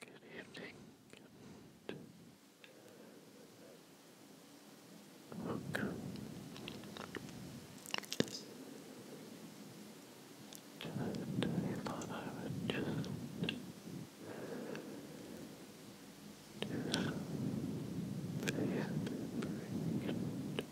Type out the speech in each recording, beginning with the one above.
Good evening and welcome thought I would just do some video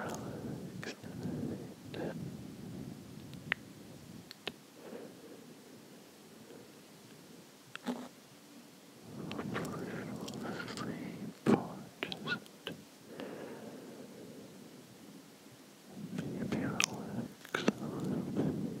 Relax tonight. Hopefully fall asleep or just maybe relax a little bit.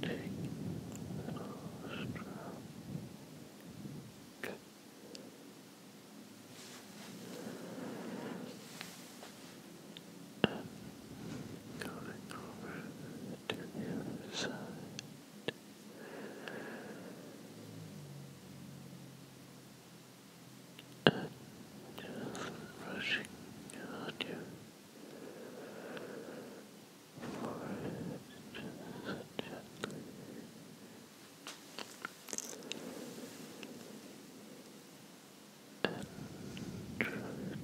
Take the nostril. Good. And going over to the other side. And just brushing on you forest gently. And try to push under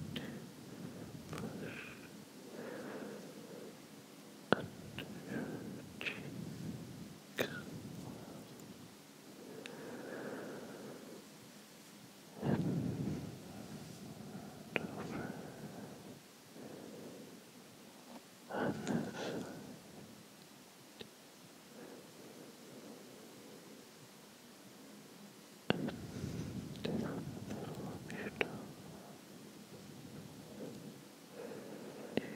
your cheek and over on this side. And down the middle of your you can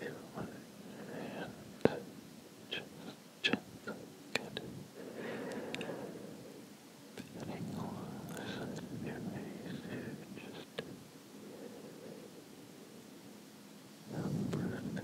feel my hand just gently get feeling lost in your face just the breath slowed. brushing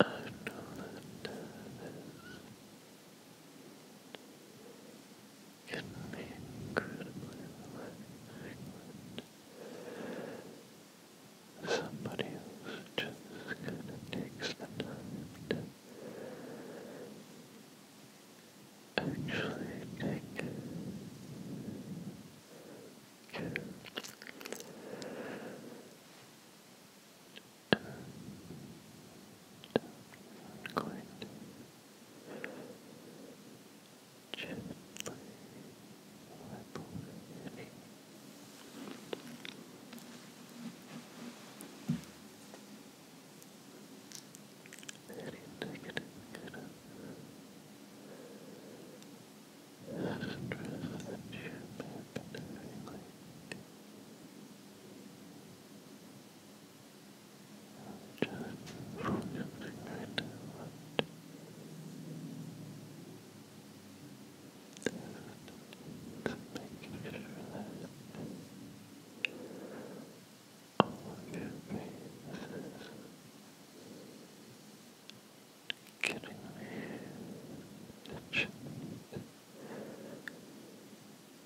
I know that that is can be Somebody who's just kind of takes the time to actually take and I'm going to gently wipe away any any negative kind of stress that you may have been having lately. Just from your finger to left. sure that all of your faces getting the chin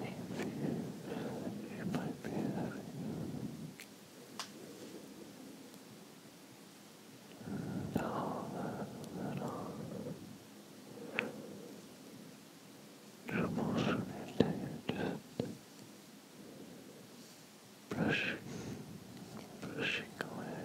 If you, you might be having all that little troubles from your day, just brushing, brushing away.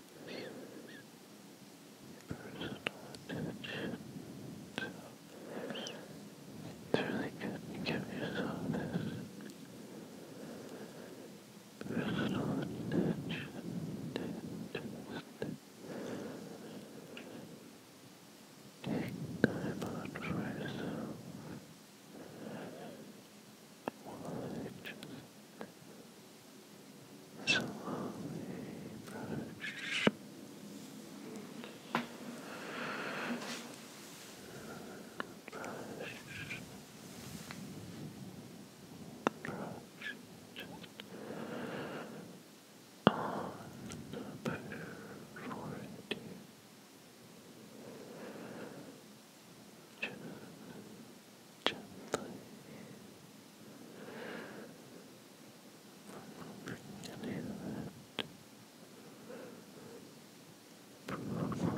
personal attention. really good give yourself this personal attention. And just slowly brush brush brush on the back forehead gently removing any of that profound and moving from above to straight there as you feel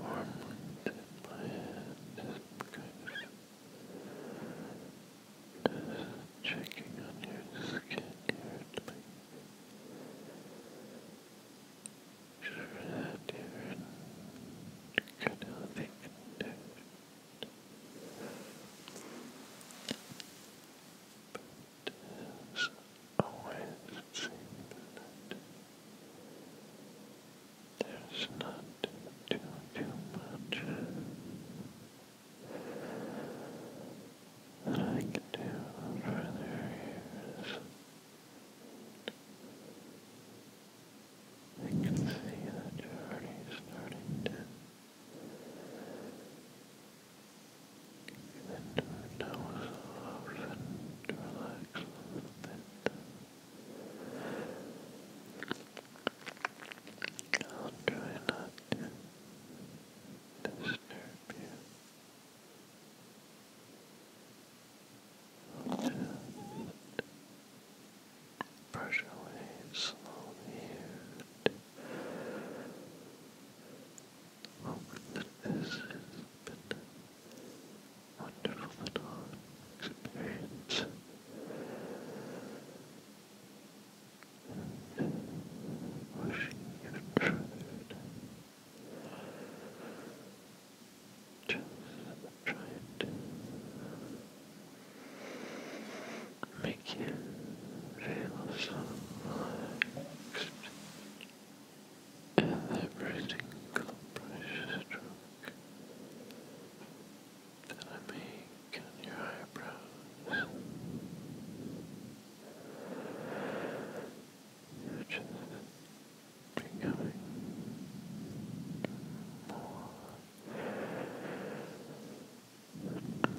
warmth in my hand just because just checking on your skin here at Sure that you're good healthy condition. But has always seemed that there's not too, much that I can do for their ears. I can see that you starting to and her nose off and relax a little bit. I'll try not to disturb you. I'll just brush away slowly and that this has a wonderful And wishing you enjoyed. Just trying to make you feel so relaxed and every single brush that I make on your eyebrows. You're just becoming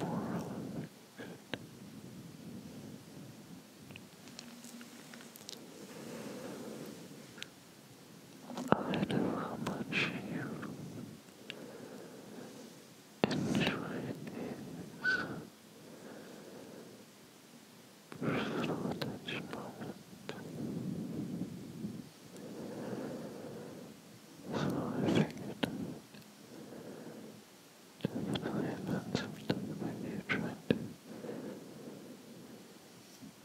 more and more relaxed. I know how much you enjoy these personal attention So I figured Definitely not something maybe you trying to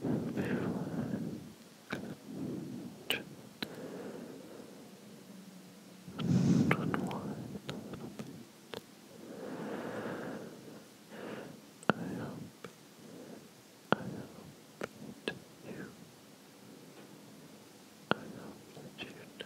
help you and unwind a little bit. I hope, I hope that you, I hope that you know